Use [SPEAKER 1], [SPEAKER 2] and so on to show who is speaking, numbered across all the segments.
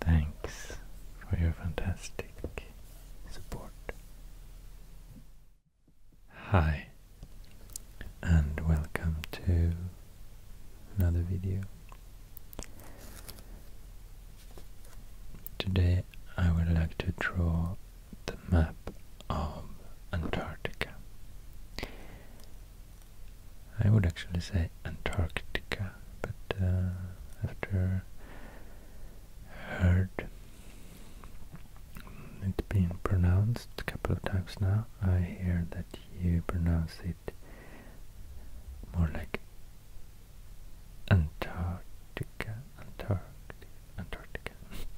[SPEAKER 1] Thanks for your fantastic support. Hi, and welcome to another video. Today I would like to draw the map of Antarctica. I would actually say Antarctica, but uh, after heard it being pronounced a couple of times now, I hear that you pronounce it more like Antarctica, Antarctica, Antarctica.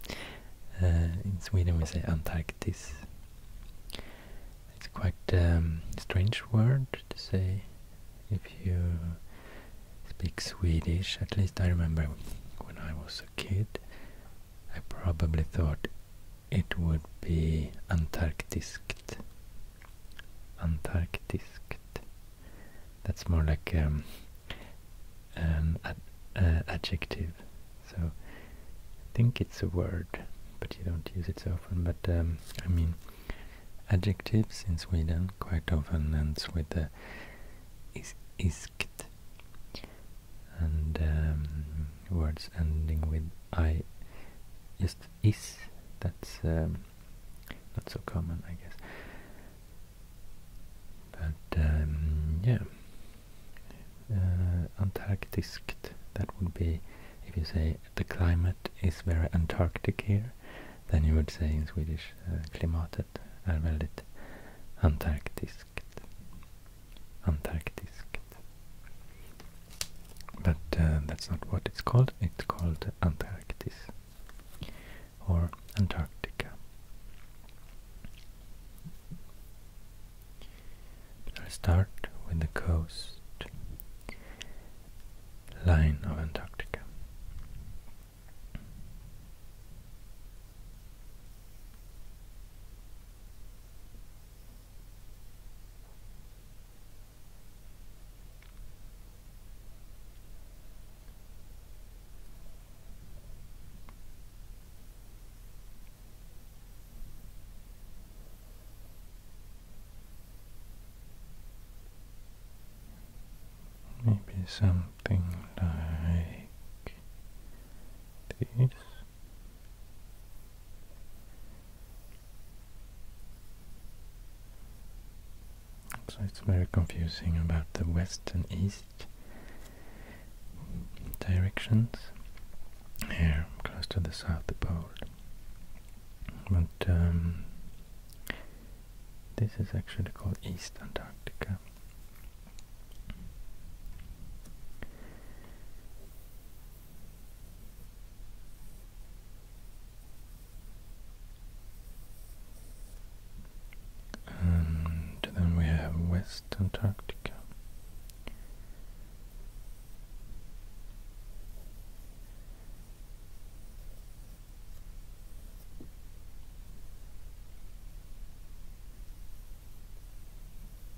[SPEAKER 1] Uh, in Sweden we say Antarctis. It's quite a um, strange word to say if you speak Swedish. At least I remember when I was a kid, I probably thought it would be Antarktiskt. Antarktiskt. That's more like um, an uh, adjective. So I think it's a word, but you don't use it so often. But um, I mean, adjectives in Sweden quite often ends with the is iskt. And um, words ending with I just is, that's um, not so common I guess. But um, yeah, uh, Antarctic, that would be, if you say the climate is very Antarctic here, then you would say in Swedish uh, klimatet är väldigt antarktiskt. Antarktiskt but uh, that's not what it's called. It's called Antarctica. or Antarctica. I'll start with the coast line of Antarctica. Maybe something like this. So it's very confusing about the west and east directions here close to the south pole. But um, this is actually called East Antarctica. And then we have West Antarctica.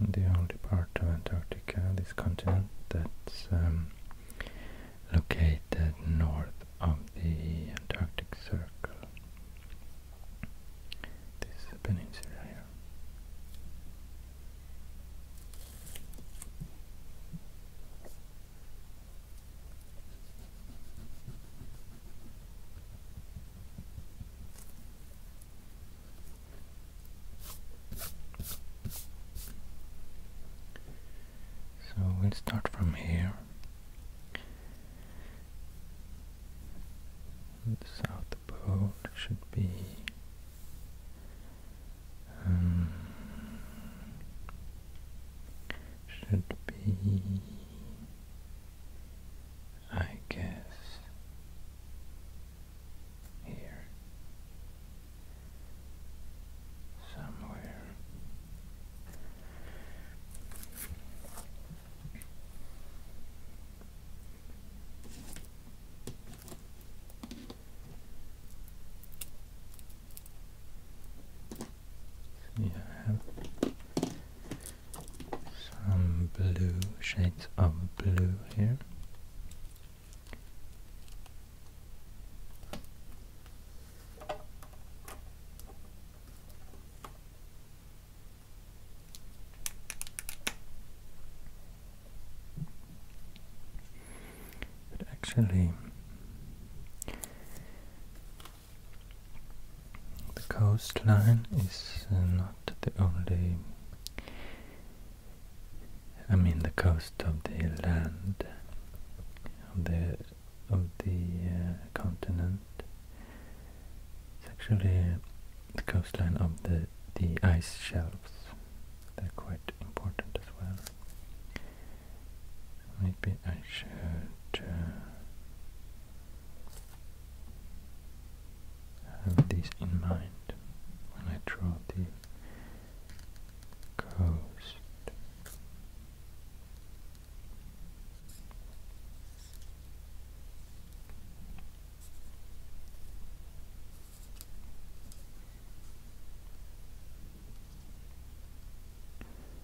[SPEAKER 1] the only part of Antarctica, this continent, that's um, located north of the Antarctic Circle. This peninsula here. So we'll start from here, the south pole should be um, should be I guess here somewhere you have some blue shades of blue here but actually the coastline is uh, not the only. I mean, the coast of the land of the of the uh, continent. It's actually uh, the coastline of the the ice shelves. They're quite important as well. Maybe I should have this in mind when I draw the coast.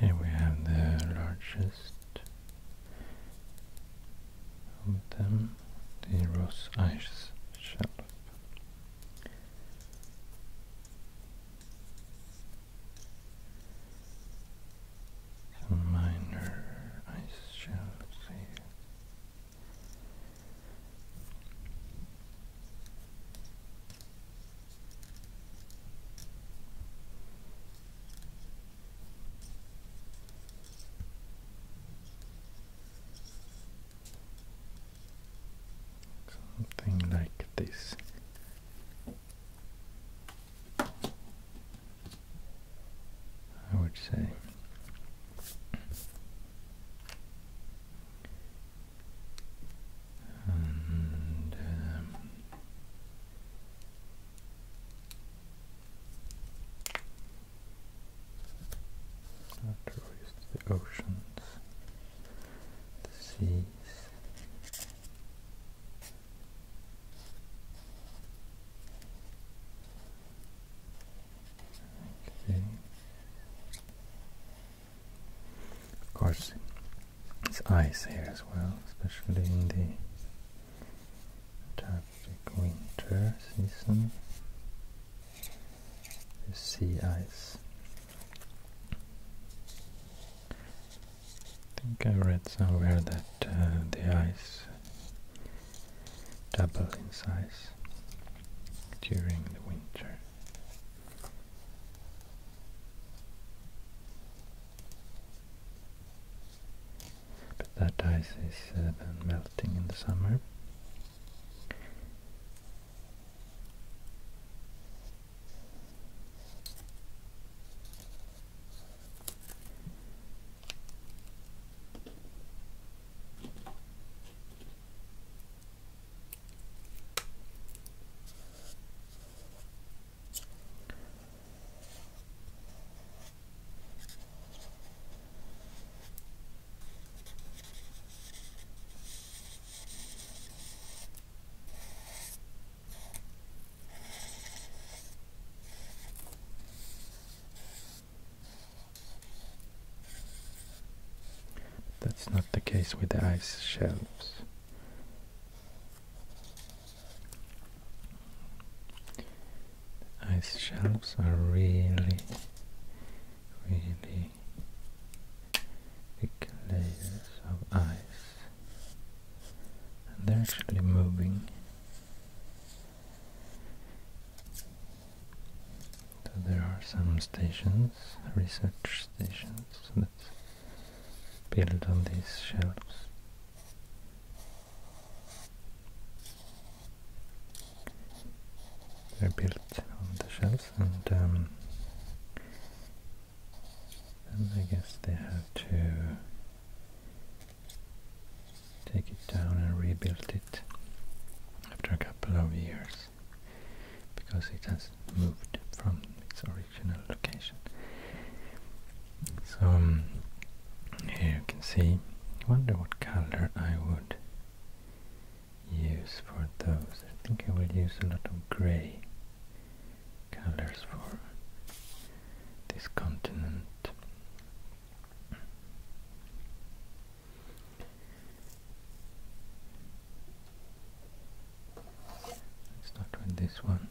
[SPEAKER 1] And here we have the largest of them, the Ross Ice Shelf. Some minor ice shelves here. Something like this. I would say and um, the oceans, the seas. Of course, it's ice here as well, especially in the Antarctic winter season. The sea ice. I think I read somewhere that uh, the ice double in size during the winter. But that ice is uh, melting in the summer. That's not the case with the ice shelves. Ice shelves are really, really thick layers of ice, and they're actually moving. So there are some stations, research stations Built on these shelves. They're built on the shelves um, and I guess they have to take it down and rebuild it after a couple of years because it has moved from its original so um, here you can see, I wonder what color I would use for those. I think I will use a lot of grey colors for this continent start with this one.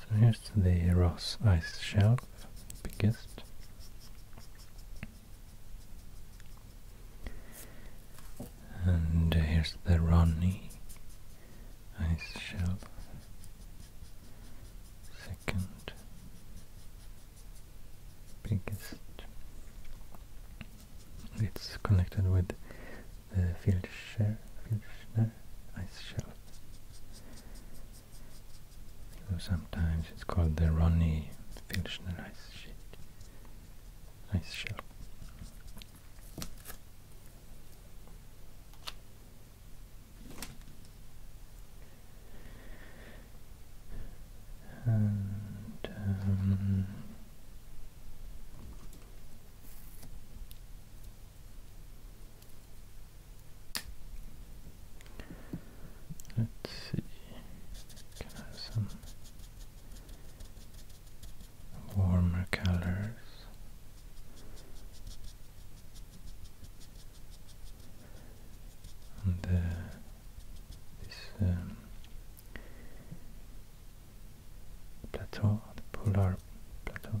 [SPEAKER 1] So here's the Ross ice shelf, biggest. And here's the Ronnie ice shelf second biggest. It's connected with the Filchner, Filchner ice shelf. sometimes it's called the Ronnie Filchner ice sheet, ice shelf. Um, let's see, can I have some warmer colors? and uh, this um, plateau, the polar plateau.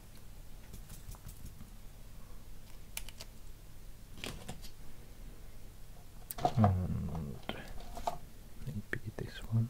[SPEAKER 1] and maybe this one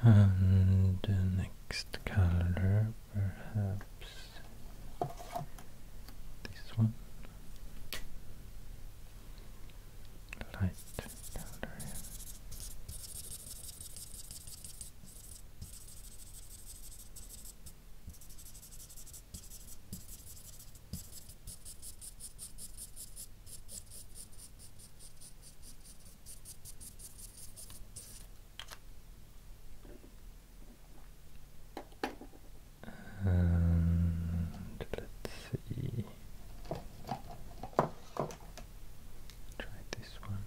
[SPEAKER 1] And the next color, perhaps this one. Light color. And let's see. Try this one.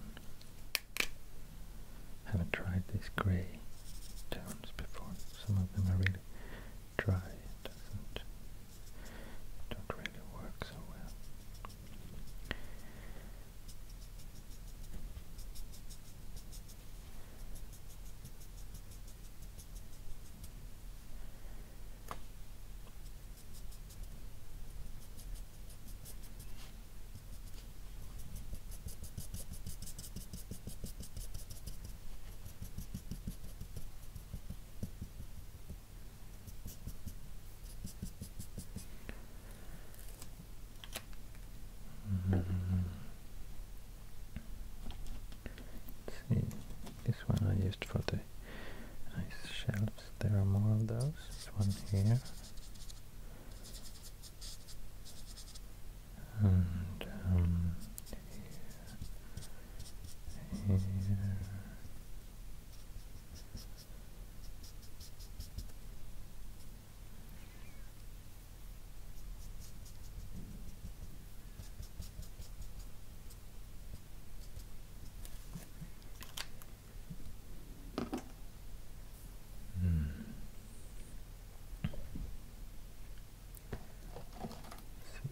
[SPEAKER 1] Haven't tried these grey tones before. Some of them are really dry don't really work so well. Mm-hmm. see, this one I used for the ice shelves. There are more of those. This one here. And um, here. Mm.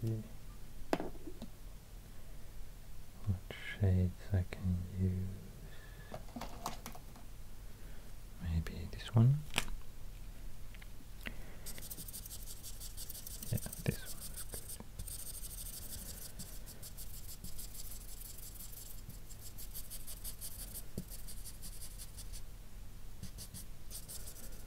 [SPEAKER 1] See what shades I can use. Maybe this one. Yeah, this one is good.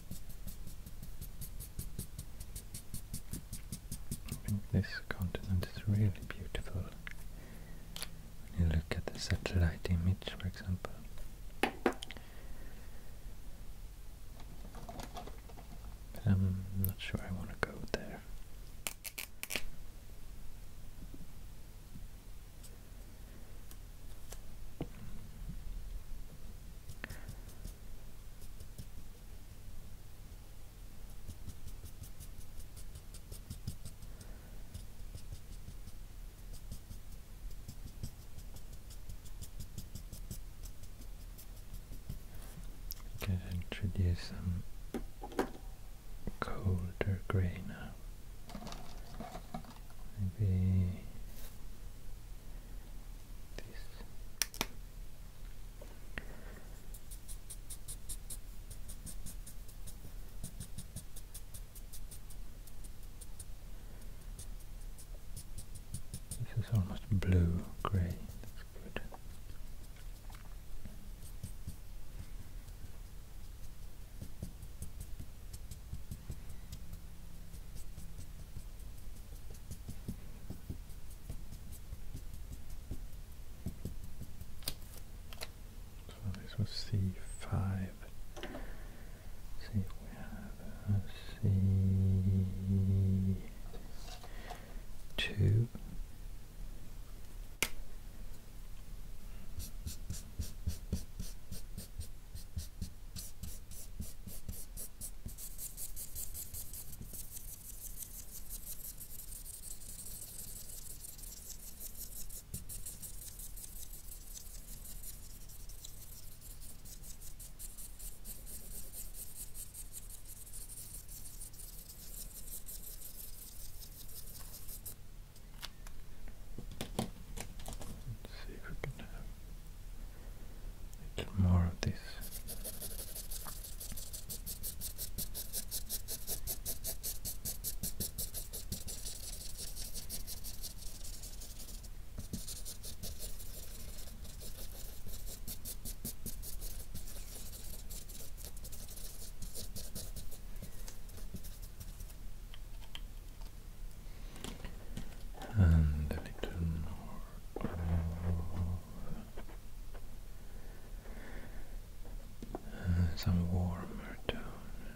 [SPEAKER 1] I think this continent is really beautiful when you look at the satellite image, for example. I'm not sure I want to go there. We can introduce some colder gray now maybe this this is almost blue gray that's good so this was C5. see we have C2. Let's see if we can have little more of this and a little more uh, some warmer tone.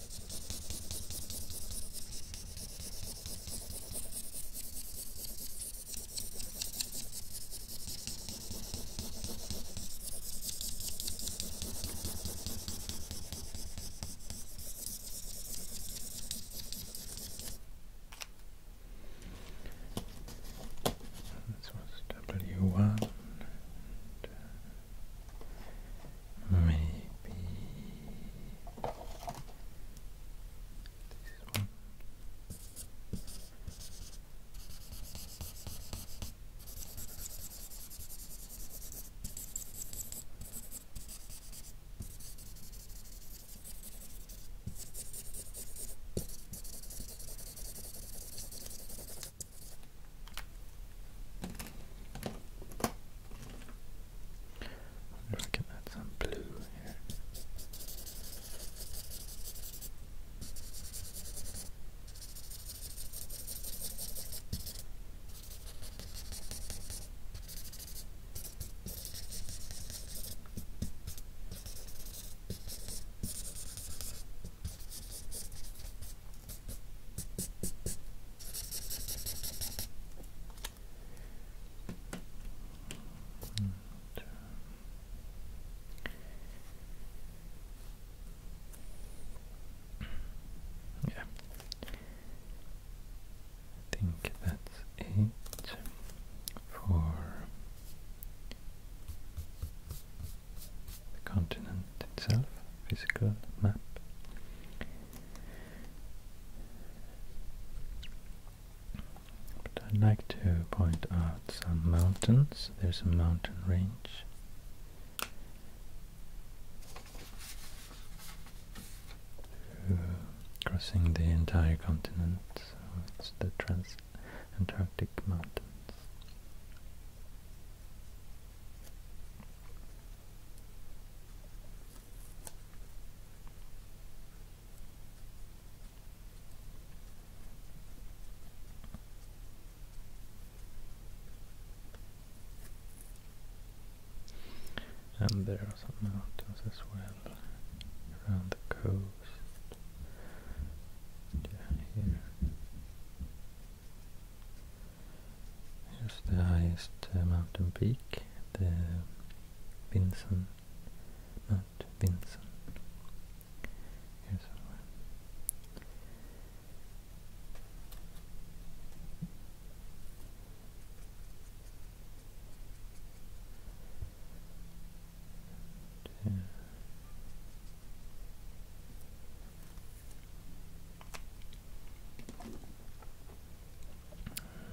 [SPEAKER 1] This was W1 Maybe this one wonder if gonna add some blue here. And, um, think that's it for the continent itself, physical map. But I'd like to point out some mountains. There's a mountain range. crossing the entire continent, so it's the Trans-Antarctic Mountains. And there are some mountains as well around the coast. here. Here's the highest uh, mountain peak the Vinson, not Vinson, here somewhere.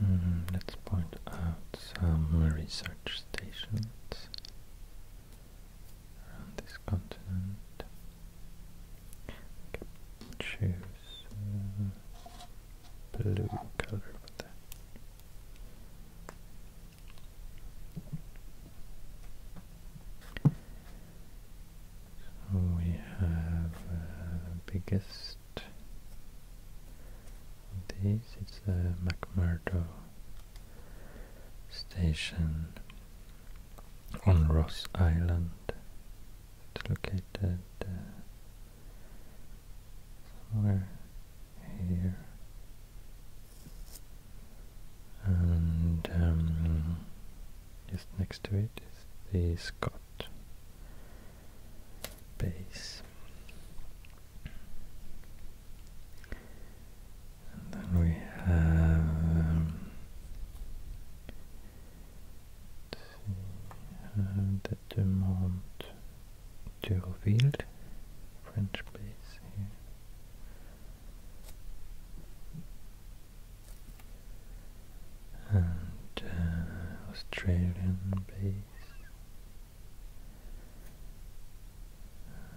[SPEAKER 1] Mm-hmm. let's point out some research stations around this continent. Choose uh, blue color So we have uh, biggest this is the McMurdo station on Ross Island. It's located uh, somewhere here. And um, just next to it is the Scott base. And then we have um, the Dumont Durville French base here and uh, Australian bass.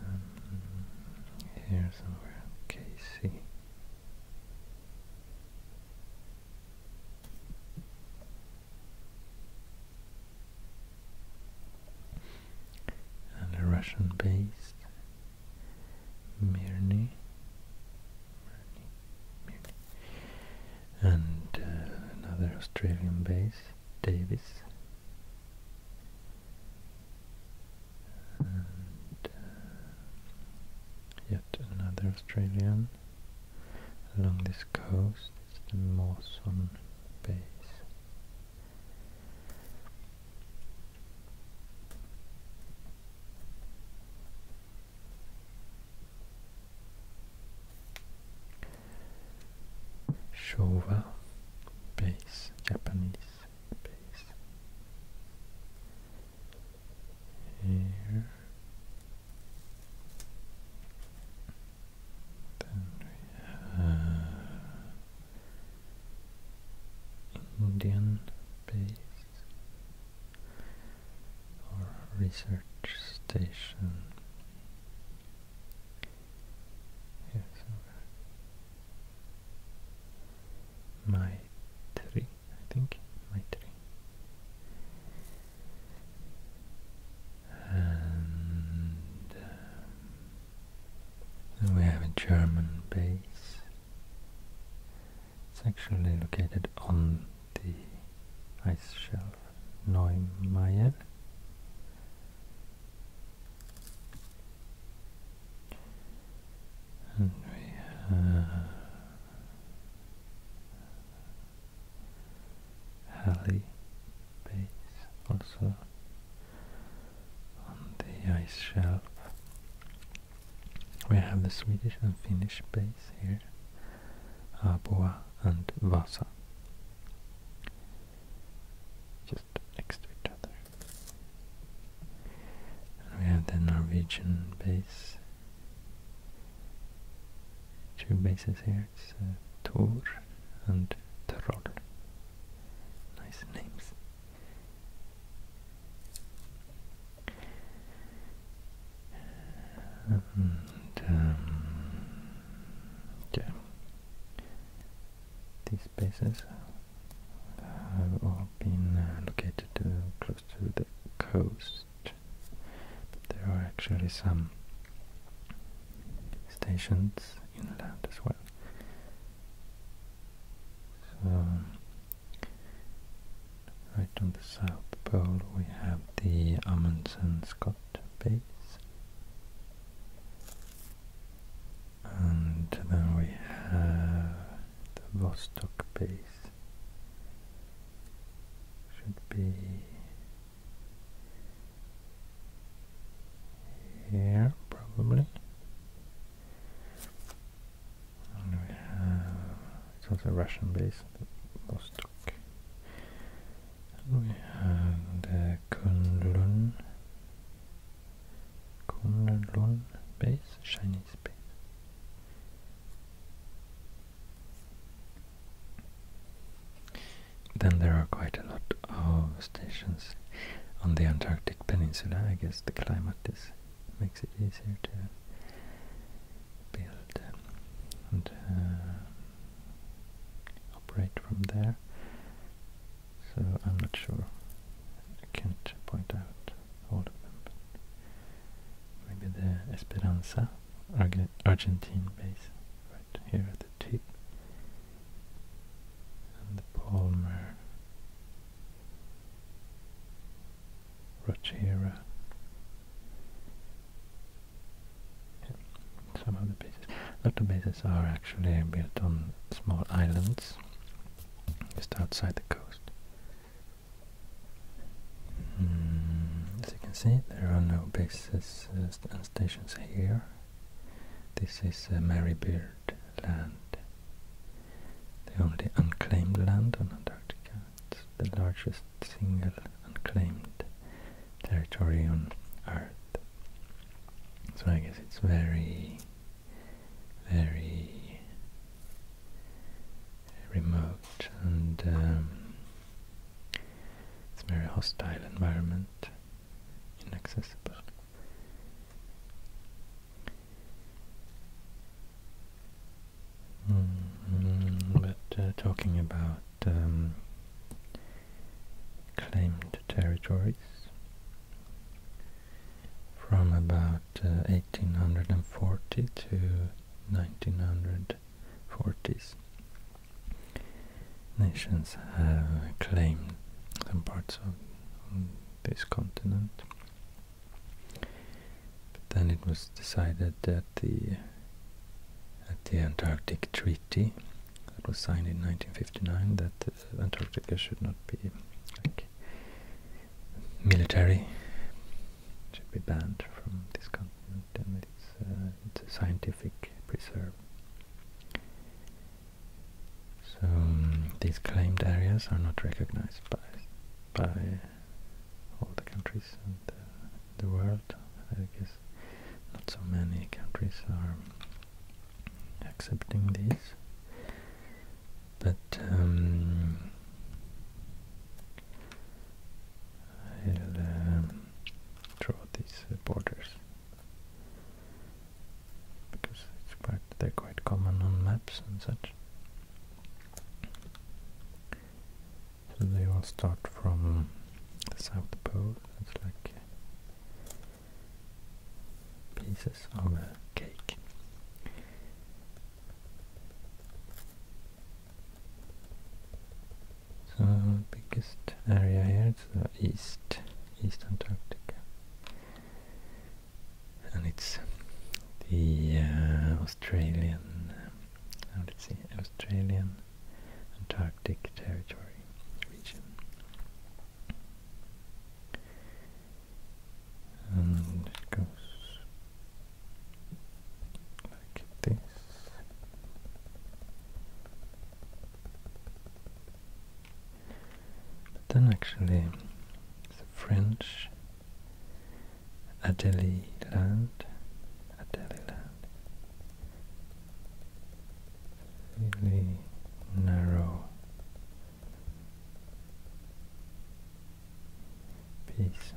[SPEAKER 1] Um, here somewhere, Casey. And a Russian based Mirny and uh, another Australian base, Davis. And uh, yet another Australian along this coast, is the Mawson base. Showa base, Japanese base. Here. Then we have Indian base or research station. My okay. I think, My Maitri. And um, we have a German base. It's actually located on the ice shelf Neumeier. And we have Halley base also on the ice shelf. We have the Swedish and Finnish base here. Aboa and Vasa. Just next to each other. we have the Norwegian base. Two bases here, it's uh, Tor and Troll. Nice names. Um, These bases have all been uh, located uh, close to the coast. there are actually some stations inland as well. Right on the South Pole we have the Amundsen-Scott base. And then we have the Vostok base. Should be here probably. And we have it's also Russian base at we had the Kunlun, Kunlun base, Chinese base. Then there are quite a lot of stations on the Antarctic Peninsula. I guess the climate is makes it easier to build and uh, operate from there. So I'm not sure. I can't point out all of them. But maybe the Esperanza, Argentine base, right here at the tip. And the Palmer, Rochera, some of bases. A lot of bases are actually built on small islands just outside the coast. Hmm, as you can see, there are no bases uh, and stations here. This is uh, Mary Beard land, the only unclaimed land on Antarctica. It's the largest single unclaimed territory on Earth. So I guess it's very, very remote and um, it's a very hostile environment, inaccessible. Mm, mm, but uh, talking about um, claimed territories from about 1840 uh, to 1940s, nations have claimed some parts of this continent. But then it was decided that the at the Antarctic Treaty that was signed in 1959 that uh, Antarctica should not be military, it should be banned from this continent and it's, uh, it's a scientific preserve. So um, these claimed areas are not recognized by by all the countries and uh, the world. I guess not so many countries are accepting these, but um, I'll um, draw these borders because they're quite common on maps and such. So they all start from the South Pole. It's like uh, pieces of a cake. So biggest area here is the East, East Antarctica. And it's the uh, Australian, how did it say, Australian Antarctic Territory region. And goes like this. But then actually the French Adélie land, Adélie land really narrow Peace,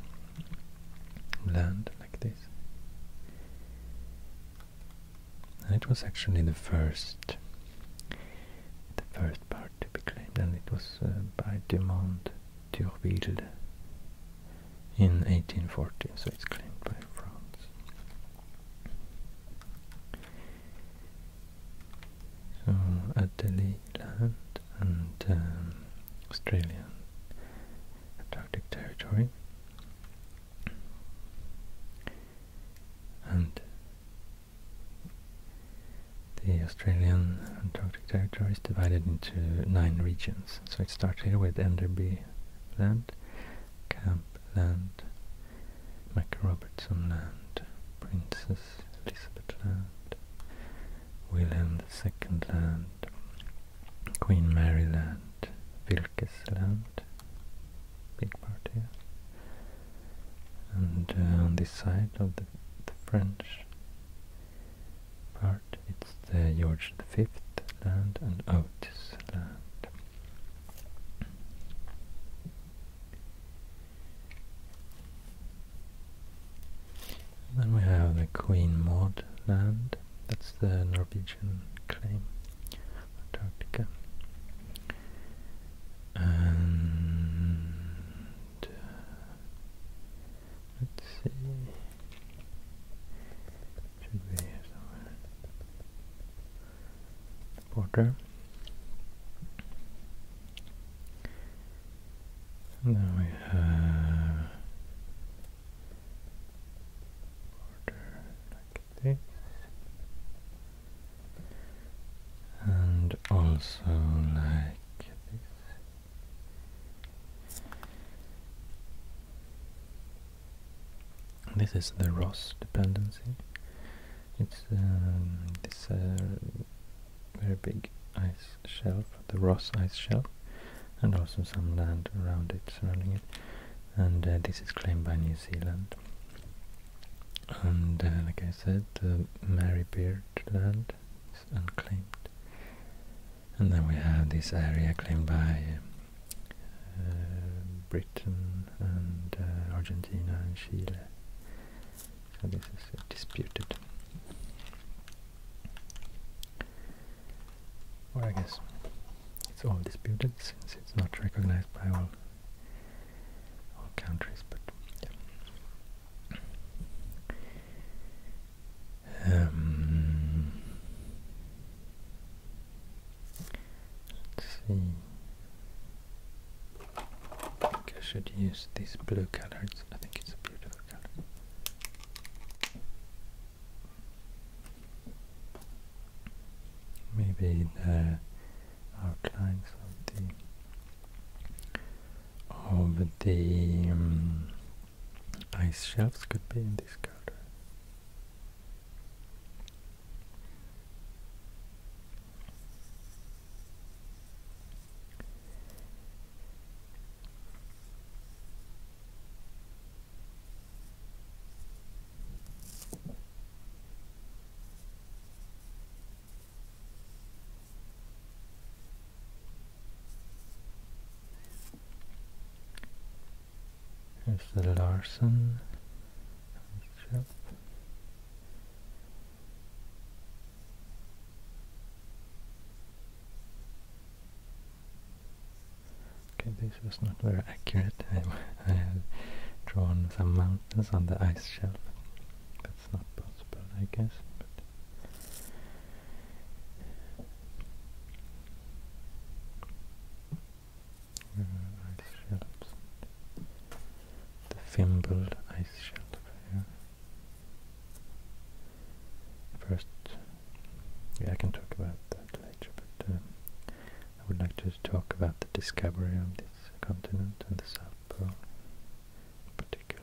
[SPEAKER 1] land like this. And it was actually the first the first part to be claimed and it was uh, by Dumont Thurville in 1840, so it's claimed by France. So Adélie Land and um, Australian Antarctic Territory. And the Australian Antarctic Territory is divided into nine regions. So it starts here with Enderby land, Camp Land, MacRobertson Land, Princess Elizabeth Land, William II Land, Queen Mary Land, Vilkes Land, big part and uh, on this side of the, the French part. It's the George V land and Otis then we have the Queen Maud land. That's the Norwegian claim, Antarctica. Let's see. Should be here And then we have border like this, and also like this. This is the Ross dependency. It's um, this uh, very big ice shelf, the Ross ice shelf, and also some land around it, surrounding it. And uh, this is claimed by New Zealand. And uh, like I said, the Mary Beard land is unclaimed. And then we have this area claimed by uh, Britain and uh, Argentina and Chile. So this is disputed. Or I guess it's all disputed since it's not recognized by all all countries, but let's see. I think I should use these blue colors. I think it's a beautiful color. Maybe the outlines of the of the um, Ice shelves could be in this counter. Here's the Larsen strip. Okay, this was not very accurate. I, have drawn some mountains on the ice shelf. That's not possible, I guess. The thimbled ice shelf First, yeah, I can talk about that later, but uh, I would like to talk about the discovery of this continent and the South Pole in particular.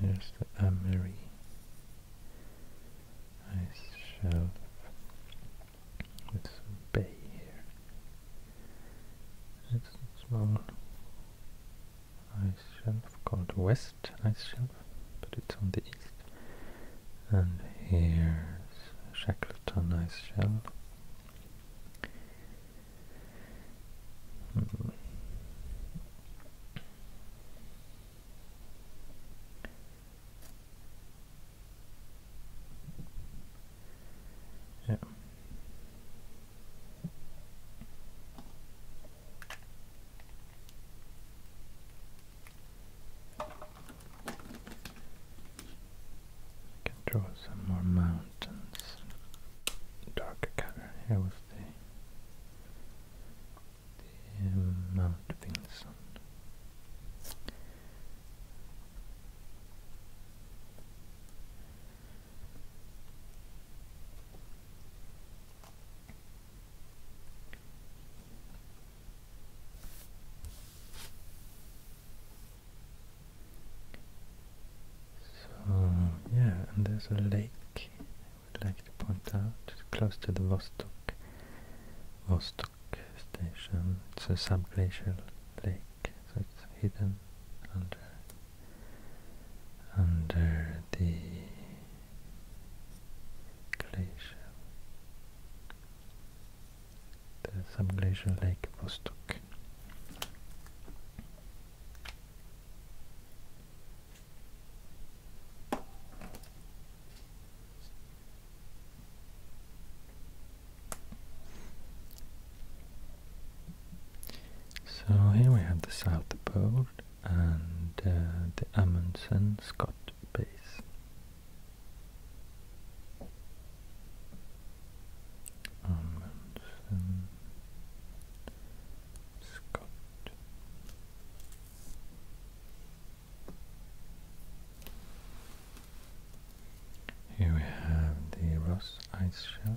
[SPEAKER 1] Here's the Amery ice shelf with some bay here. It's a small ice shelf called West Ice Shelf, but it's on the east. And here's Shackleton Ice Shelf. Hmm. Yeah. can draw some more mountains, darker color. Here was the the Mount So yeah, and there's a lake I would like to point out, close to the Vostok, Vostok station. It's a subglacial lake, so it's hidden under under the glacial, the subglacial lake Vostok. So here we have the South Pole and uh, the Amundsen Scott base. Amundsen Scott here we have the Ross Ice Shelf.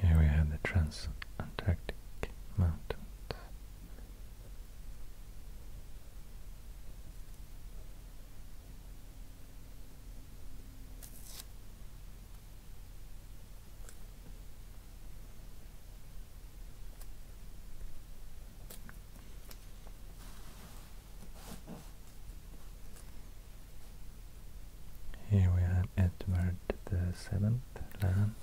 [SPEAKER 1] Here we have the Transantarctic Mountains. Here we have Edward the Seventh land.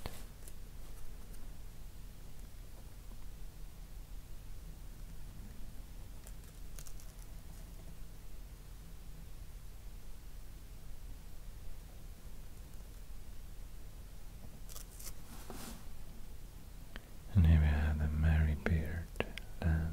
[SPEAKER 1] And here we have the Marybeard land.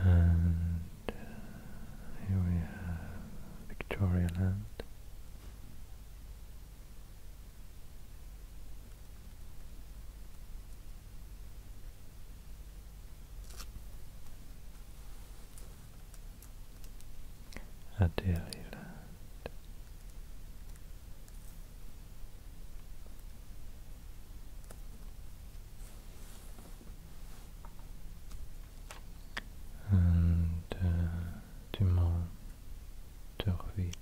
[SPEAKER 1] And uh, here we have Victoria Land a dairy land. And uh, du Mont d'Orville.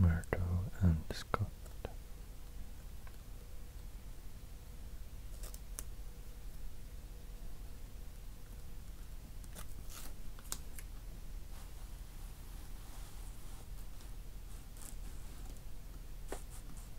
[SPEAKER 1] McMurdo and Scott.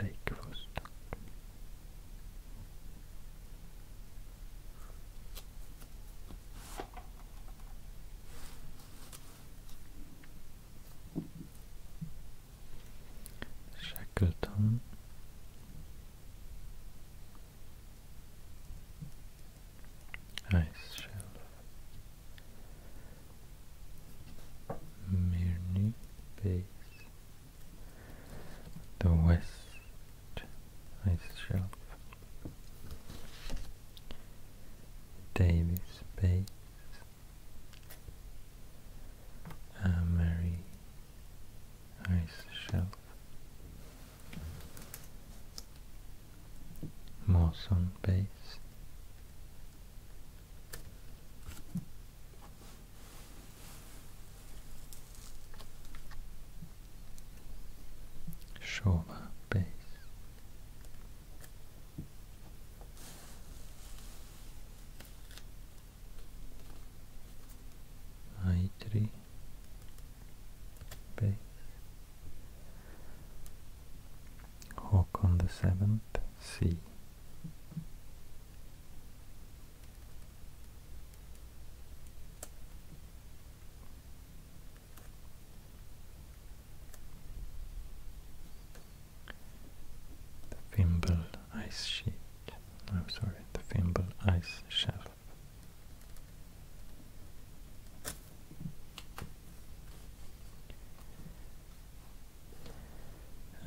[SPEAKER 1] Lake Vostok. Shackleton Ice Shelf Mirny Base, the West Ice Shelf, Davis Base, Amery Ice Shelf, Mawson Base. Shoulder base. I3 base. Hawk on the seventh C the Fimble Ice Sheet. I'm sorry, the Fimble Ice Shelf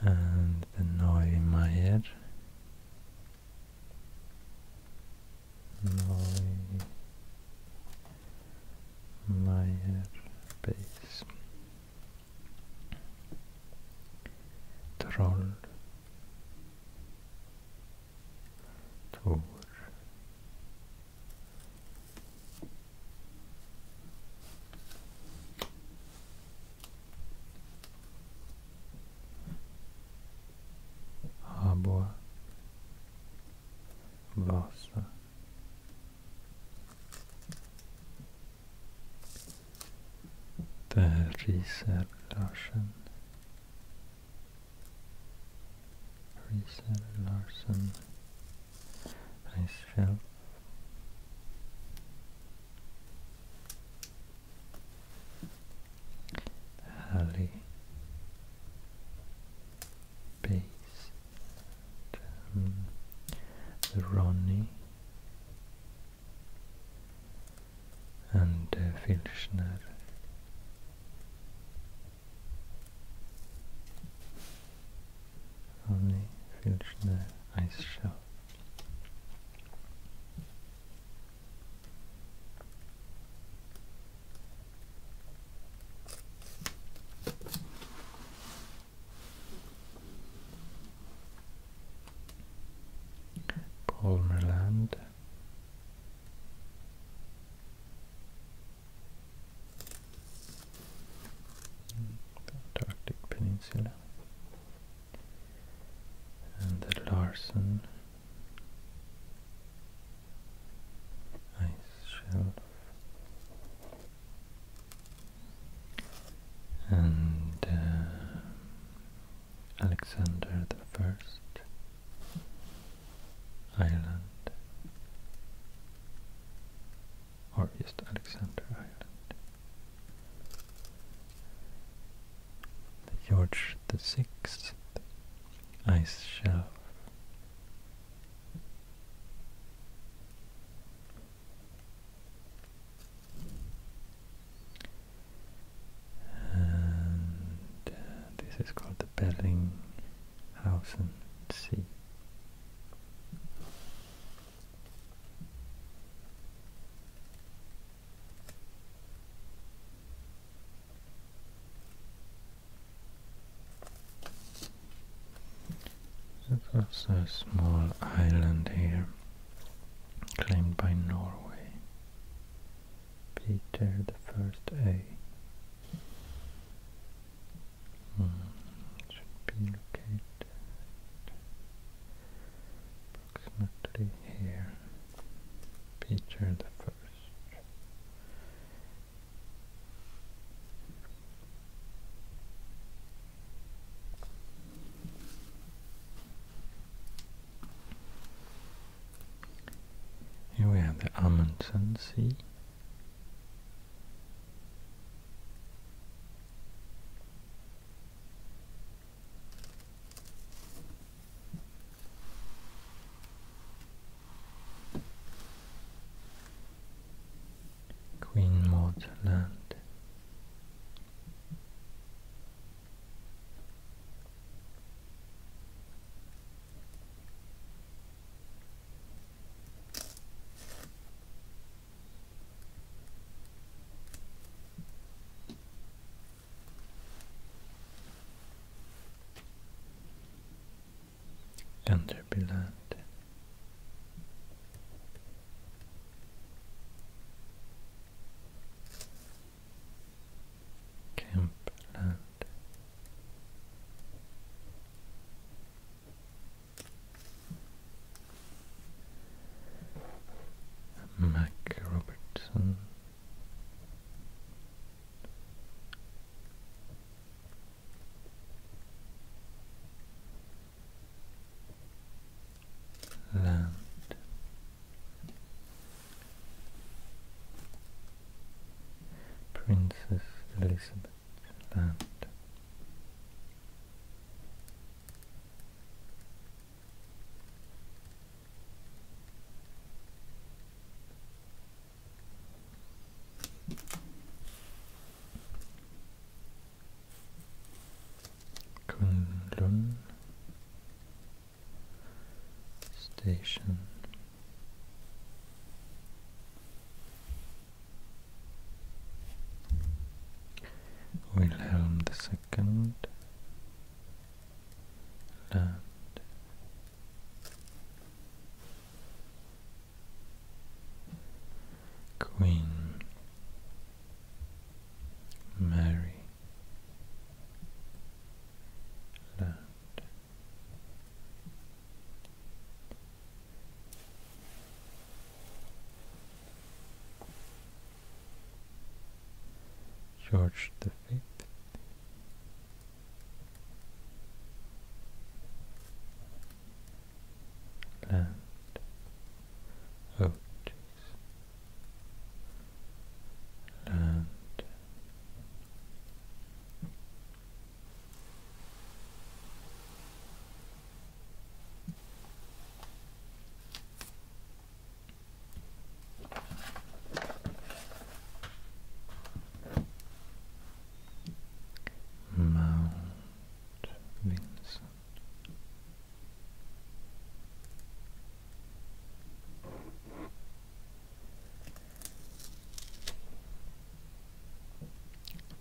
[SPEAKER 1] and the Neumeier Neumeier base Troll Tor Harbor Vasa Där ryser Larsen Ryser Larsen Reisfeld alley base the Ronnie and uh, Filchner Ronny the Ice Show. Palmerland the Antarctic Peninsula and the Larsen ice shelf and uh, Alexander the First Island or just Alexander Island George the Sixth ice shelf. And uh, this is called the Bellinghausen Sea. This that's a small island here, claimed by Norway. Peter the First A. Hmm, should be located approximately here, Peter the First. Here we have the Amundsen Sea. Queen Maud Land. Enderbyland Campland Mac Land Princess Elizabeth Land Kunlun Station Wilhelm II land Queen Mary George the Fifth. Land. Oh, Land. Mount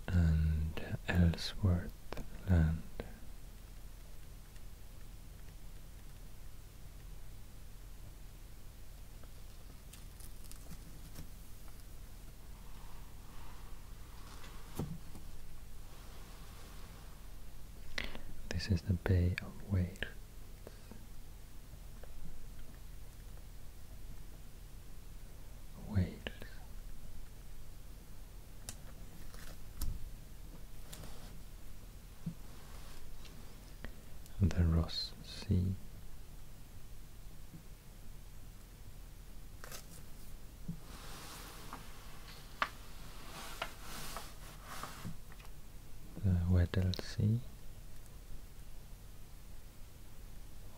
[SPEAKER 1] And Ellsworth this is the Bay of Whales. Whales the Ross Sea. The Weddell Sea.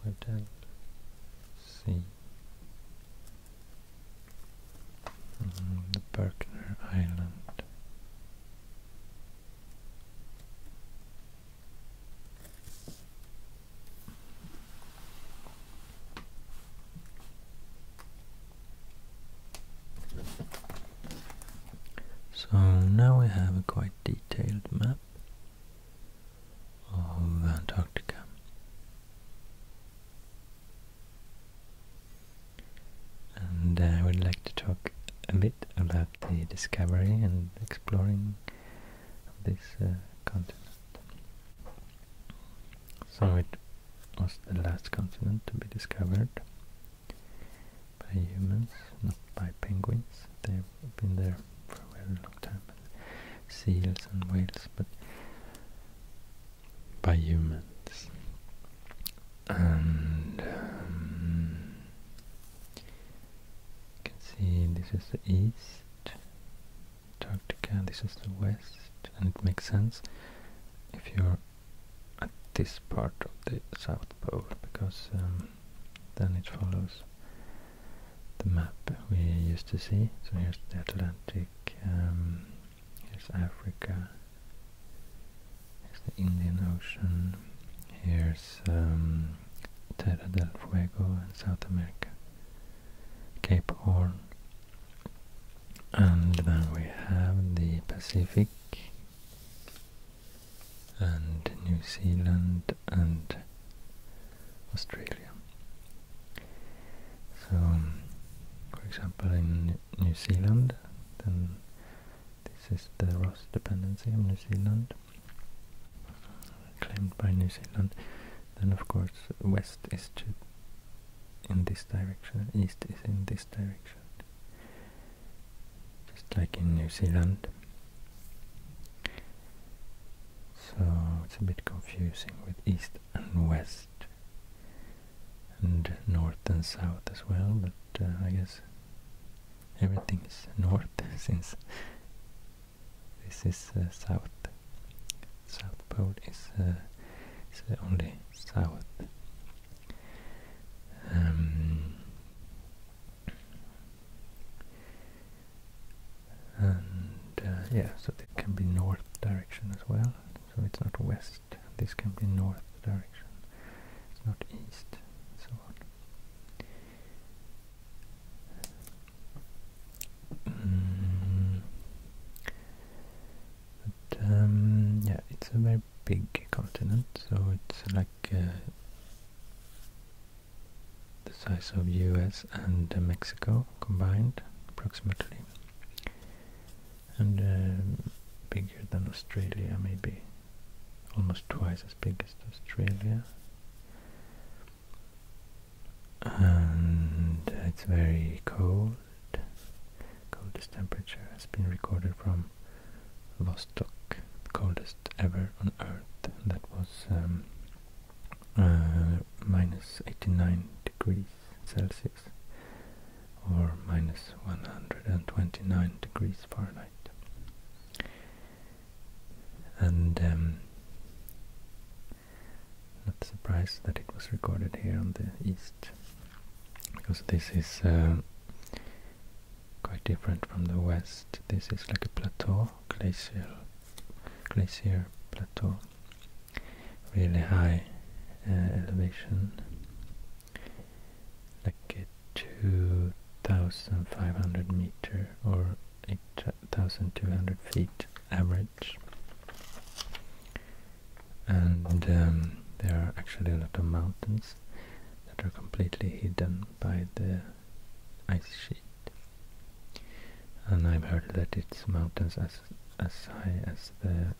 [SPEAKER 1] Weddell see. Mm, the Berkner Island. So now we have a quite detailed map of Antarctica. And uh, I would like to talk a bit about the discovery and exploring of this uh, continent. So it was the last continent to be discovered by humans, not by penguins. They've been there for a very long time, seals and whales, but by humans. And um, you can see this is the east, Antarctica, this is the west, and it makes sense if you're at this part of the South Pole because um, then it follows the map we used to see. So here's the Atlantic. Um, Here's Africa. Here's the Indian Ocean. Here's um, Terra del Fuego in South America. Cape Horn. And then we have the Pacific and New Zealand and Australia. So, um, for example, in New Zealand, then this is the Ross dependency of New Zealand, claimed by New Zealand. Then, of course, west is to in this direction, east is in this direction, just like in New Zealand. So it's a bit confusing with east and west and north and south as well, but uh, I guess everything is north since this is uh, south. South pole is, uh, only south. Um, and yeah, so there can be north direction as well so it's not west, this can be north direction, it's not east, so on. Mm. But um, yeah, it's a very big continent, so it's like uh, the size of US and Mexico combined, approximately and um, bigger than Australia maybe almost twice as big as Australia and it's very cold coldest temperature has been recorded from Vostok coldest ever on earth that was um, uh, 89 degrees Celsius or minus 129 degrees Fahrenheit. And um, not surprised that it was recorded here on the east, because this is uh, quite different from the west. This is like a plateau, glacial, glacier plateau, really high uh, elevation, like 2,500 meter or 8,200 feet average. And um, there are actually a lot of mountains that are completely hidden by the ice sheet. And I've heard that it's mountains as as high as the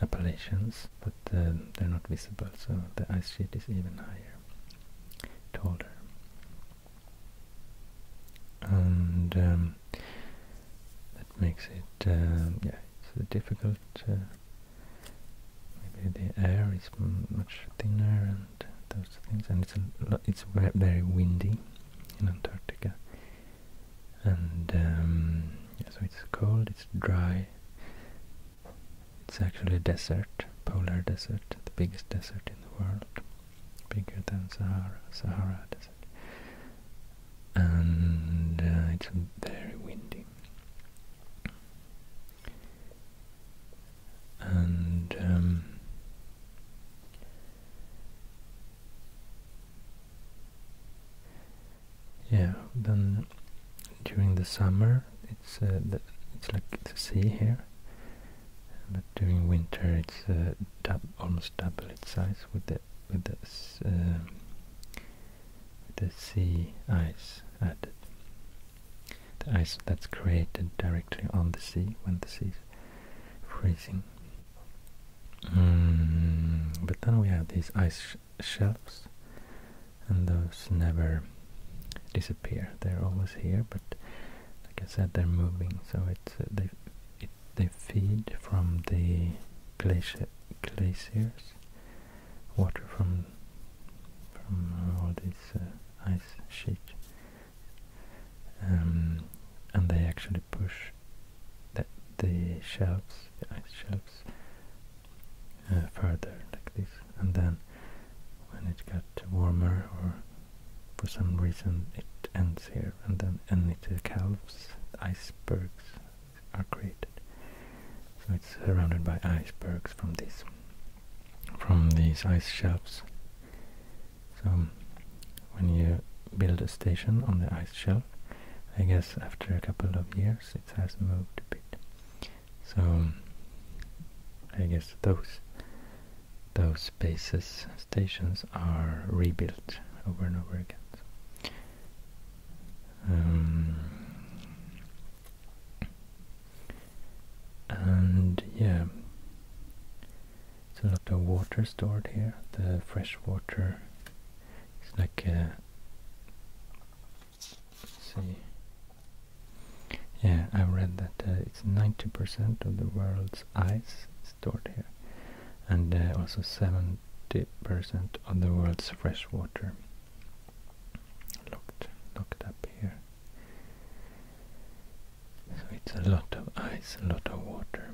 [SPEAKER 1] Appalachians, but uh, they're not visible, so the ice sheet is even higher, taller. And um, that makes it, uh, yeah, it's difficult. Uh, maybe the air is much thinner and those things, and it's it's very windy in Antarctica and um, so it's cold, it's dry. It's actually a desert, polar desert, the biggest desert in the world, bigger than Sahara, Sahara desert. And uh, it's very windy. And um, yeah, then during the summer it's uh, it's like the sea here, but during winter it's uh, almost double its size with the with the um, the sea ice added. The ice that's created directly on the sea when the sea is freezing. Mm, but then we have these ice shelves, and those never disappear. They're always here, but like I said, they're moving, so it's uh, they they feed from the glaciers, water from from all these uh, ice sheets, um, and they actually push the shelves, the ice shelves, uh, further like this, and then when it got warmer or for some reason it ends here, and then and it calves, icebergs are created. So it's surrounded by icebergs from this, from these ice shelves. So when you build a station on the ice shelf, I guess after a couple of years it has moved a bit. So I guess those those bases stations are rebuilt over and over again. Um, and yeah, it's a lot of water stored here. The fresh water it's like a, uh, see yeah I read that uh, it's 90% of the world's ice stored here and uh, also 70% of the world's fresh water locked, locked up here so it's a lot of ice, a lot of water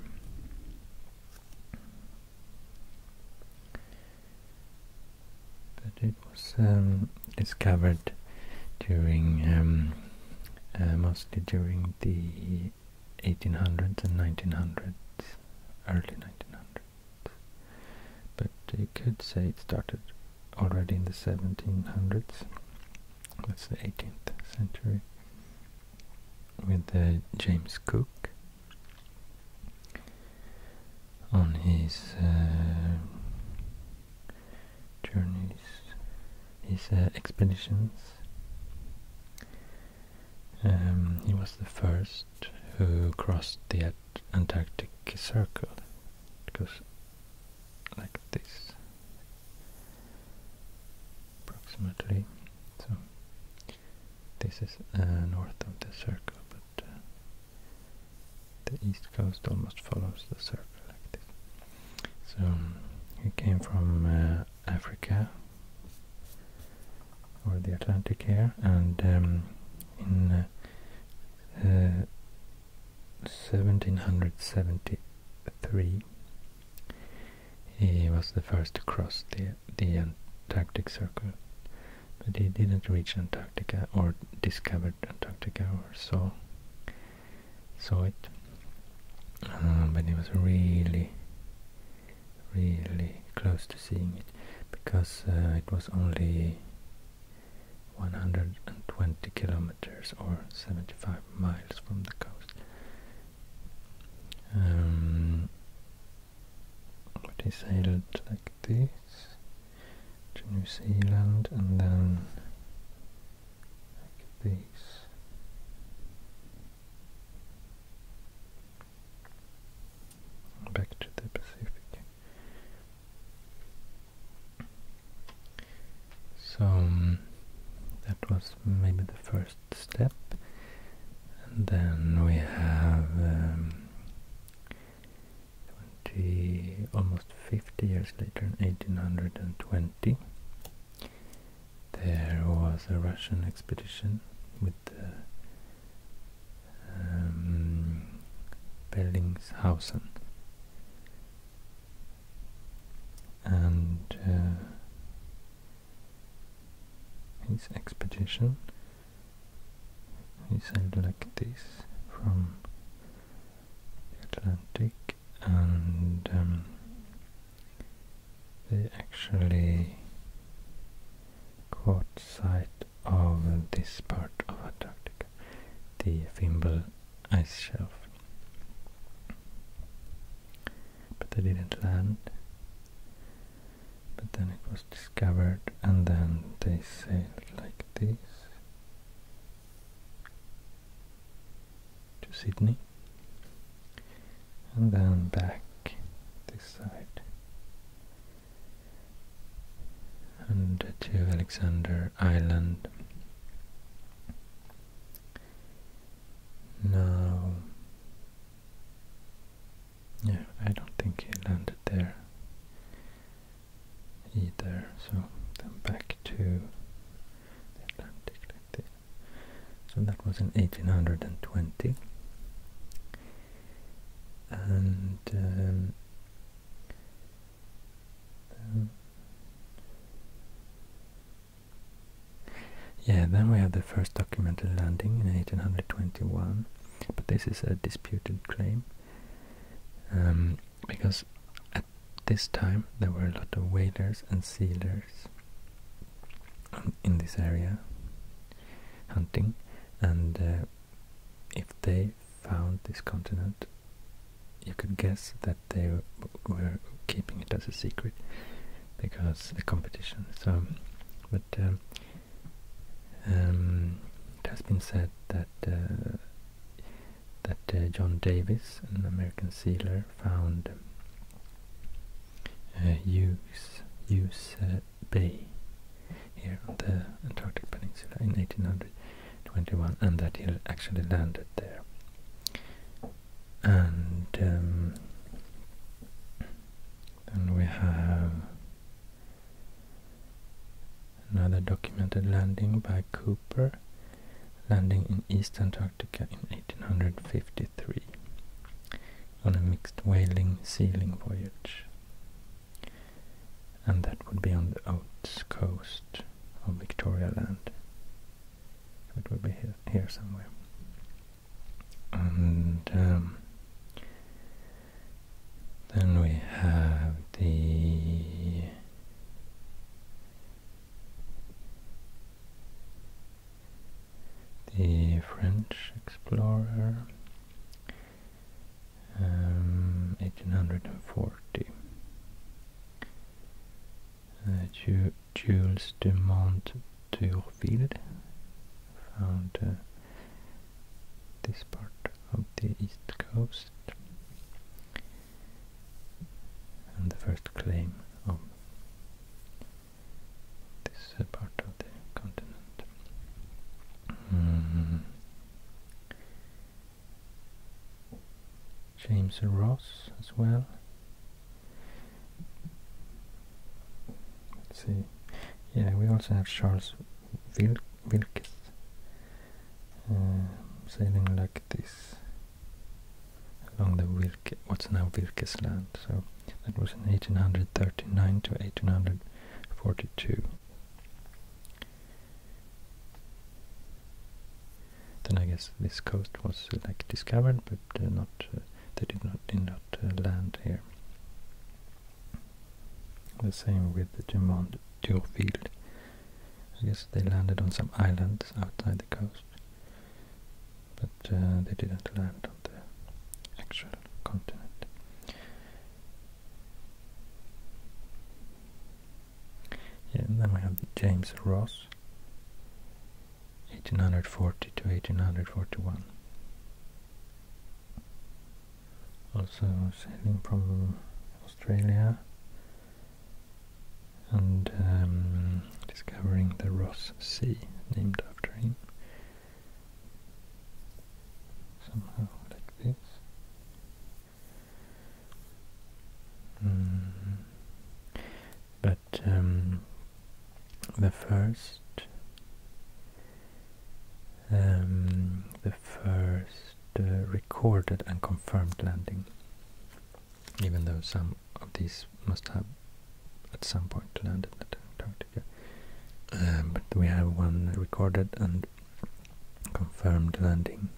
[SPEAKER 1] but it was um, discovered during um, uh, mostly during the 1800s and 1900s, early 1900s. But you could say it started already in the 1700s. That's the 18th century with uh, James Cook on his uh, journeys, his uh, expeditions. Um, he was the first who crossed the Antarctic Circle. goes like this, approximately. This is uh, north of the circle, but uh, the east coast almost follows the circle like this. So he came from uh, Africa or the Atlantic here, and um, in 1773 he was the first to cross the, the Antarctic Circle, but he didn't reach Antarctica or discovered Antarctica or saw, saw it. Uh, but he was really, really close to seeing it because uh, it was only 120 kilometers or 75 miles from the coast. Um, decided like this to New Zealand and then like this back to the Pacific so um, that was maybe the first step and then we have um, almost 50 years later in 1820 there was a Russian expedition with the um, and uh, his expedition. He sailed like this from the Atlantic and um, they actually caught sight of this part of Antarctica, the Fimbul ice shelf. But they didn't land but then it was discovered and then they sailed like this to Sydney and then back this side and to Alexander Island now yeah, I don't think he landed there either. So then back to Atlantic like this. So that was in 1820. And um, yeah, then we have the first documented landing in 1821, but this is a disputed claim um, because at this time there were a lot of whalers and sealers in this area hunting, and uh, if they found this continent, you could guess that they were keeping it as a secret because the competition. So, but um, um, it has been said that uh, that uh, John Davis, an American sealer, found uh, Hughes, Hughes uh, Bay here on the Antarctic Peninsula in 1821, and that he actually landed there. And um, then we have another documented landing by Cooper, landing in East Antarctica in 1853 on a mixed whaling sealing voyage. And that would be on the Oates coast of Victoria Land. It would be here somewhere and um, then we have the the French explorer um, 1840 that uh, Ju Jules de Mont d'Urville found uh, this part of the east coast and the first claim of this uh, part of the continent. Hmm. James Ross as well Let's see. Yeah, we also have Charles Wilkes um, sailing like this along the Wilke, what's now Wilkes Land. So that was in 1839 to 1842. Then I guess this coast was like discovered, but uh, not uh, they did not did not uh, land here. The same with the Dumont d'Urville. I guess they landed on some islands outside the coast, but uh, they didn't land on the actual continent. Yeah, then we have James Ross, 1840 to 1841 also sailing from Australia and um, discovering the Ross Sea named after him somehow like this mm. but um, the first um, the first uh, recorded and confirmed landing even though some of these must have at some point landed at Antarctica um, but we have one recorded and confirmed landing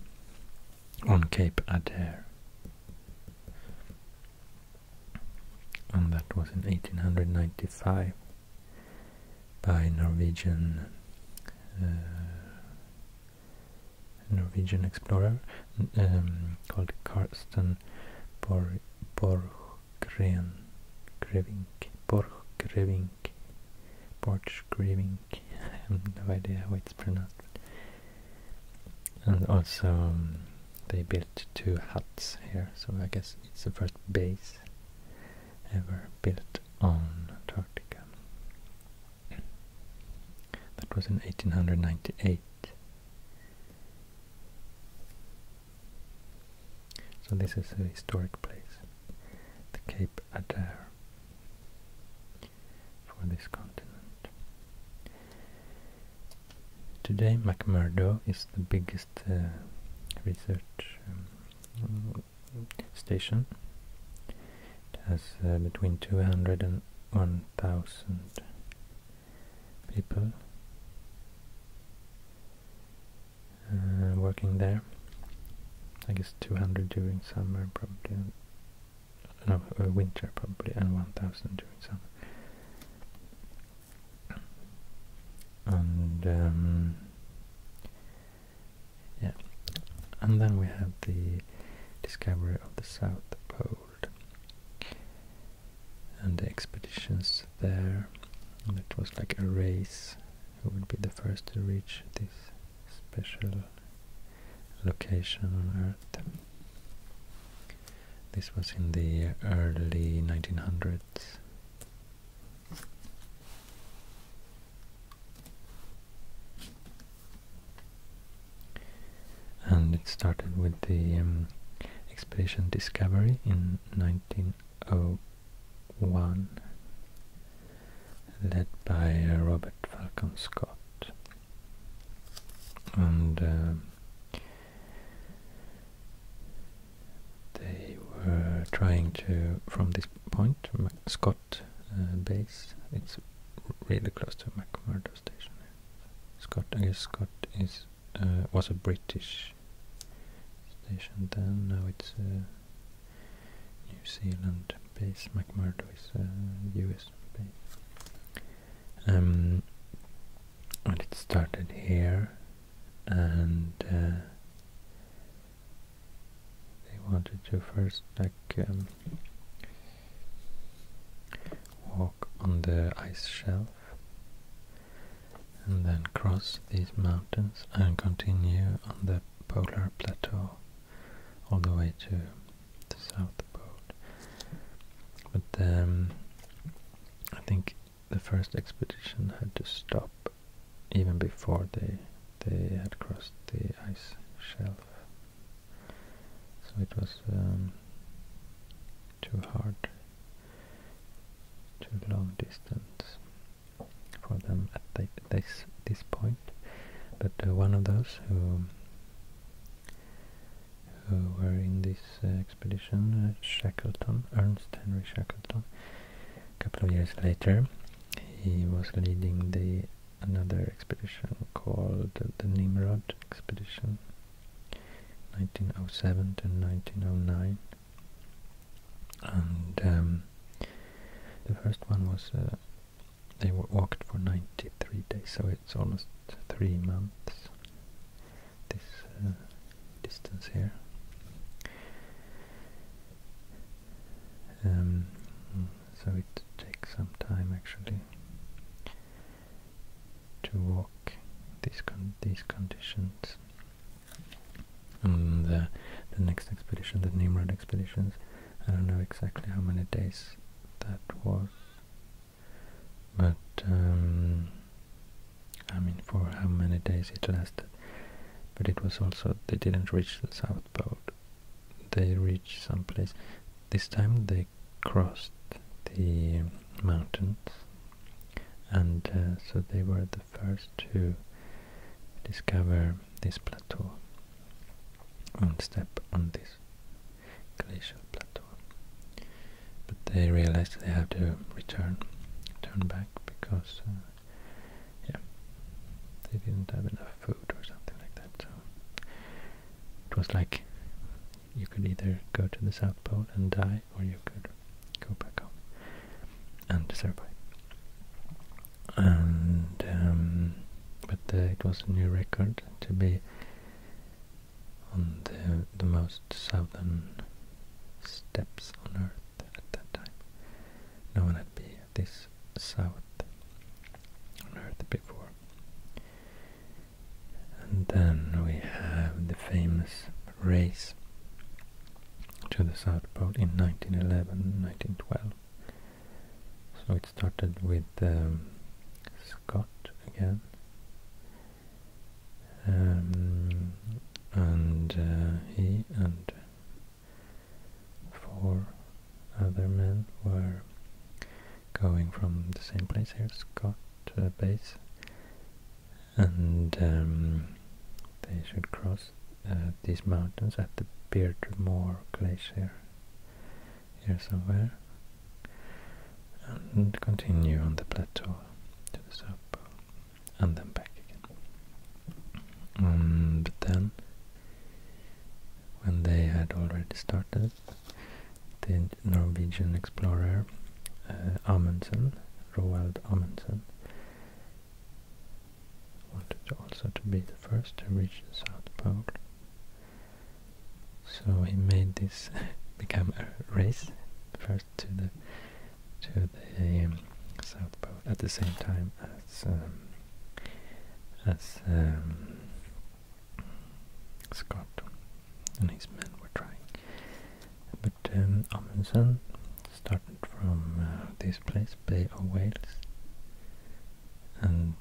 [SPEAKER 1] on Cape Adare and that was in 1895 by Norwegian uh, Norwegian explorer um, called Karsten Bor Borggren Grevink Borchgrevink Borchgrevink I have no idea how it's pronounced and also um, they built two huts here so I guess it's the first base ever built on Antarctica. That was in 1898. So this is a historic place, the Cape Adare for this continent. Today McMurdo is the biggest uh, research um, station. has uh, between 200 and 1,000 people uh, working there. I guess 200 during summer, probably. No, winter probably, and 1,000 during summer and um, yeah, and then we have the discovery of the South Pole and the expeditions there. it was like a race who would be the first to reach this special location on Earth. This was in the early 1900s. And it started with the um, expedition Discovery in 1901, led by uh, Robert Falcon Scott. And uh, they were trying to, from this point, Mac Scott uh, base, it's really close to McMurdo station. Scott, I guess Scott is uh, was a British station then, now it's a uh, New Zealand base, McMurdo is a US base. Um, and it started here and uh, they wanted to first like um, walk on the ice shelf and then cross these mountains and continue on the polar plateau all the way to the south pole. But um, I think the first expedition had to stop even before they they had crossed the ice shelf. So it was um, too hard, too long distance for them at this this point. But uh, one of those who who were in this uh, expedition, uh, Shackleton, Ernest Henry Shackleton. A couple of years later, he was leading the another expedition called the Nimrod expedition, 1907 to 1909. And um, the first one was uh, they walked for 93 days, so it's almost three months this uh, distance here. Um, so it takes some time actually to walk these these conditions. the, uh, the next expedition, the Nimrod expeditions, I don't know exactly how many days that was, but um, I mean, for how many days it lasted. But it was also, they didn't reach the South Pole. They reached some place. This time they crossed the mountains. And uh, so they were the first to discover this plateau and step on this glacial plateau. But they realized they have to return, turn back because uh, yeah, they didn't have enough food or something like that. So it was like you could either go to the South Pole and die, or you could go back home and survive. And um, but it was a new record to be on the the most southern steps on Earth at that time. No one had been this south on Earth before. And then we have the famous race to the South Pole in 1911, 1912. So it started with um, Scott again, um, and uh, he and four other men were going from the same place here, Scott uh, base, and um, they should cross uh, these mountains at the Beardmore Glacier here somewhere and continue on the plateau to the South Pole and then back again. Um, but then, when they had already started, the Norwegian explorer uh, Amundsen, Roald Amundsen, wanted also to be the first to reach the South Pole. So he made this become a race, to the to the um, south pole at the same time as um, as um, Scott and his men were trying. But um, Amundsen started from uh, this place, Bay of Whales, and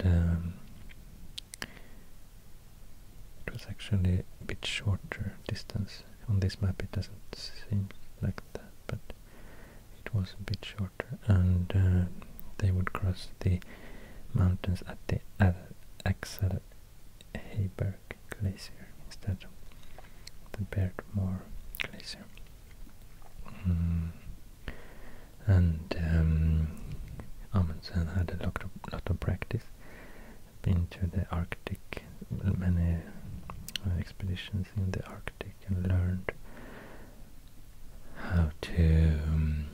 [SPEAKER 1] it was actually a bit shorter distance. On this map it doesn't seem like but it was a bit shorter. And uh, they would cross the mountains at the Ad Axel Heiberg Glacier instead of the Beardmore Glacier. Mm. And um, Amundsen had a lot of, lot of practice, been to the Arctic, many uh, expeditions in the Arctic and learned how to um,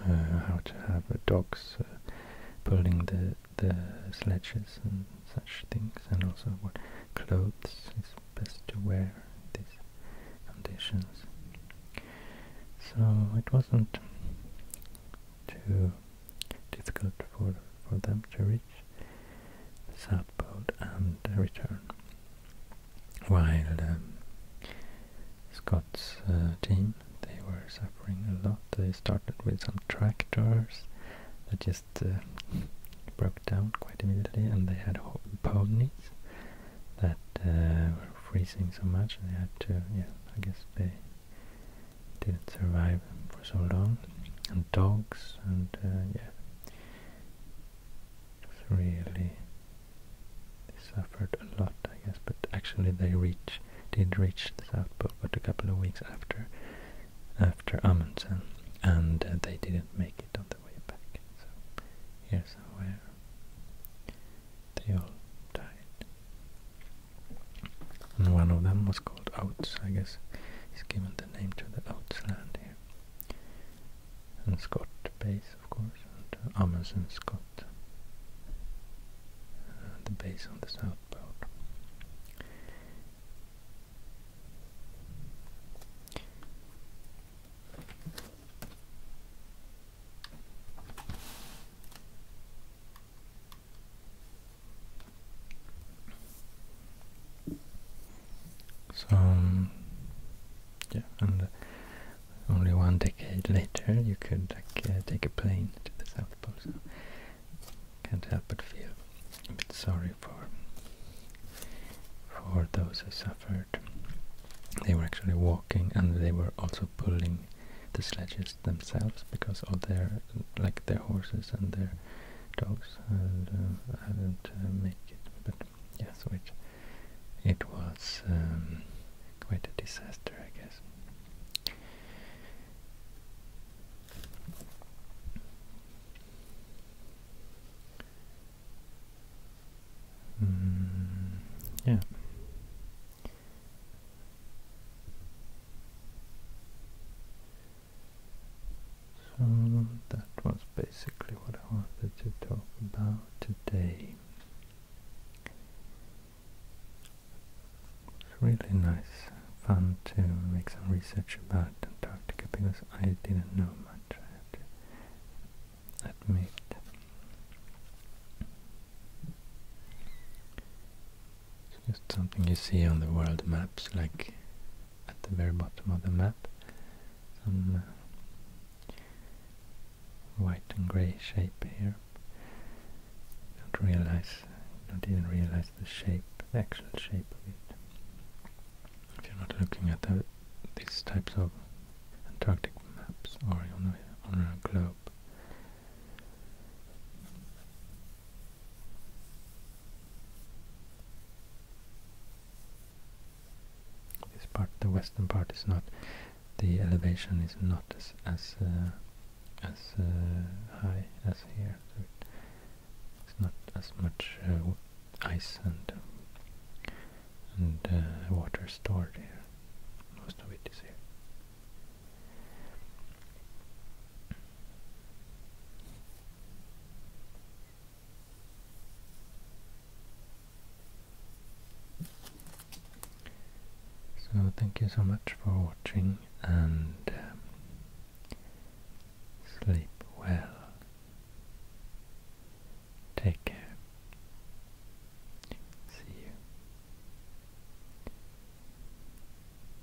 [SPEAKER 1] uh, how to have uh, dogs pulling the the sledges and such things, and also what clothes is best to wear in these conditions. So it wasn't too difficult for, for them to reach the south pole and uh, return. While um, Scott's uh, team, they were suffering a lot. They started with some tractors that just uh, broke down quite immediately and they had ponies that were freezing so much they had to, yeah, I guess they didn't survive for so long, and dogs, and uh, yeah, it really, they suffered a lot, I guess, but actually they reach, did reach the South Pole, but a couple of weeks after, after Amundsen, and uh, they didn't make it on the way back, so here's where uh, they all died and one of them was called Oats, I guess he's given the name to the Oats land here. And Scott base, of course, and uh, Amundsen Scott, uh, the base on the south pole. So, yeah, and only one decade later you could like, uh, take a plane to the South Pole, so can't help but feel a bit sorry for for those who suffered. They were actually walking and they were also pulling the sledges themselves because of their like their horses and their dogs and I um, didn't uh, make it but yeah so it was um, quite a disaster I guess hmm, yeah so that was basically what I wanted to talk about today. It's really nice, fun to make some research about Antarctica because I didn't know much, about it. admit. It's just something you see on the world maps, like at the very bottom of the map. Some uh, white and grey shape here. You don't realize, you don't even realize the shape, the actual shape of it. If you're not looking at these types of Antarctic maps or on a, on a globe. This part, the western part, is not the elevation is not as as uh, as uh, high as here. So it's not as much uh, ice and and water stored here. Most of it is here. So thank you so much for watching and um, sleep well. Take care. See you.